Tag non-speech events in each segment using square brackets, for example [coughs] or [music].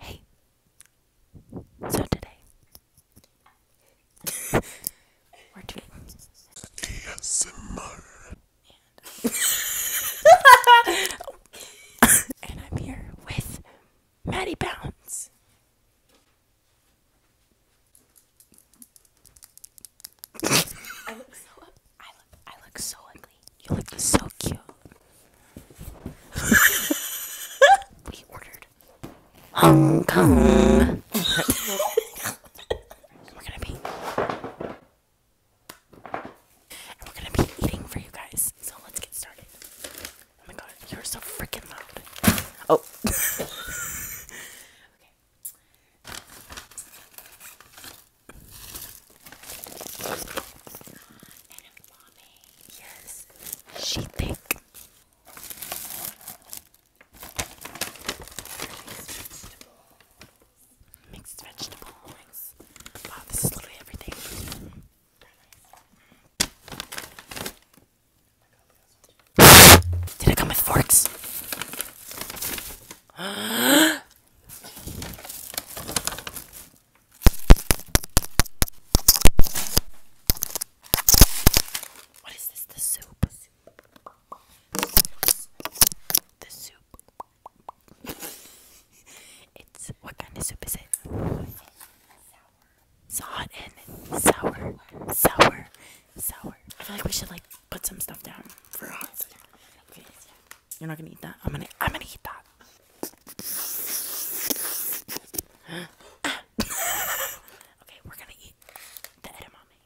Hey, so today [laughs] we're doing ASMR. [laughs] And, I'm here with Maddie Bounds. I look so I look I look so ugly. You look so cute. [laughs] we ordered Hong Kong. We're gonna be and we're gonna be eating for you guys. So let's get started. Oh my god, you're so freaking loud. Oh. [laughs] okay. yes, she thick mixed vegetables. Wow, this is literally everything. Did it come with forks? [gasps] What is this? The soup it's what kind of soup is it? Sour, hot and sour, sour, sour. I feel like we should like put some stuff down for a hot second. you're not gonna eat that. I'm gonna, I'm gonna eat that. [gasps] okay, we're gonna eat the edamame.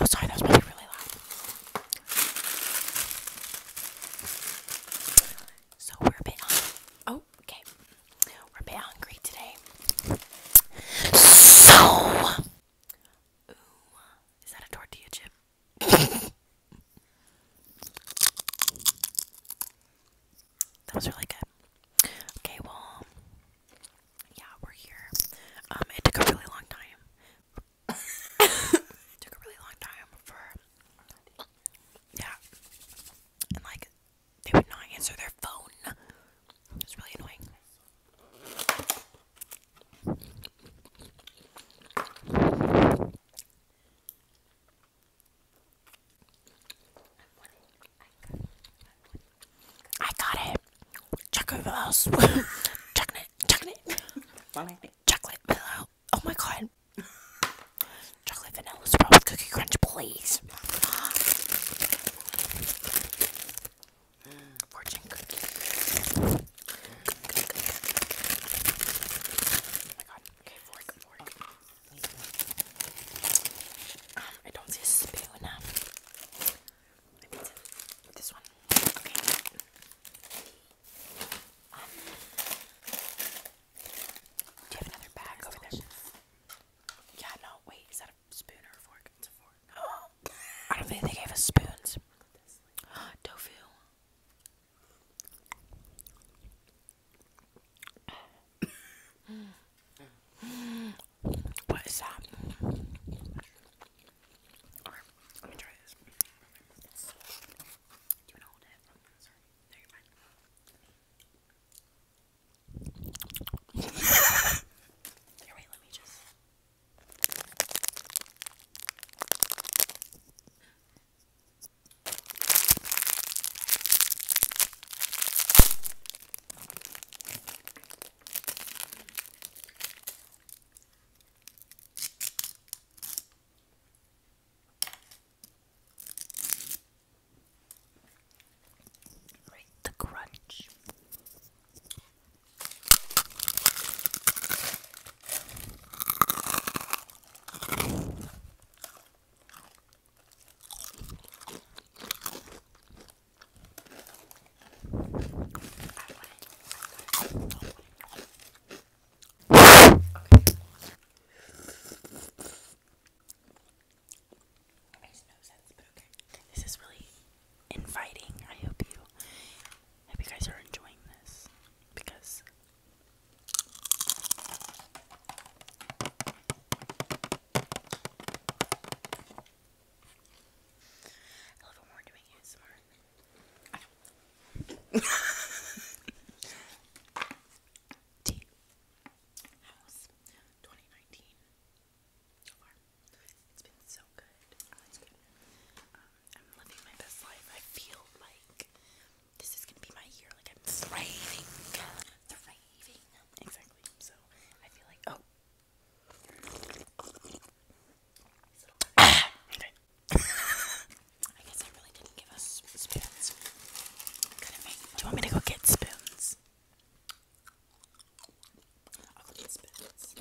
Oh, sorry, that was probably really loud. So we're a bit Oh, okay. We're a bit hungry today. So, is that a tortilla chip? [laughs] that was really good. Okay, well, yeah, we're here. Um, it took a really long time. [coughs] took a really long time for yeah, and like they would not answer their phone. It was really annoying. I got it. [laughs] Chocolate pillows. chocolate, chocolate. chocolate pillow. Oh my god. chocolate vanilla with cookie crunch, please. Fortune cookie. Oh my god. Okay, fork, fork. Oh, um, I don't see a spoon. Um, do you have another bag over there? Yeah, no, wait, is that a spoon or a fork? It's a fork. [gasps] I don't think they gave us spoons. [gasps] Tofu. [sighs] [sighs] what is that? let me try this. you want to hold it? Sorry. you're [laughs] Right, the crunch. Okay. Makes no sense, but okay. This is really inviting. I hope you, I hope you guys are enjoying this because I love when we're doing ASMR. [laughs] T. House 2019. So far. It's been so good. Oh, good. Um, I'm living my best life. I feel like this is gonna be my year. Like I'm thriving, thriving. Exactly. So I feel like oh. okay. [laughs] I guess I really didn't give us spoons. do you want me to go get spoons? I'll get spoons.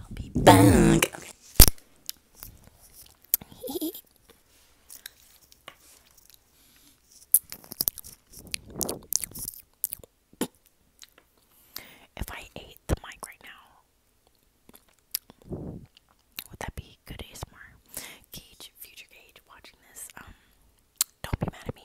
I'll be back. [laughs] If I ate the mic right now, would that be good ASMR? Gage, future Gage, watching this, um, don't be mad at me.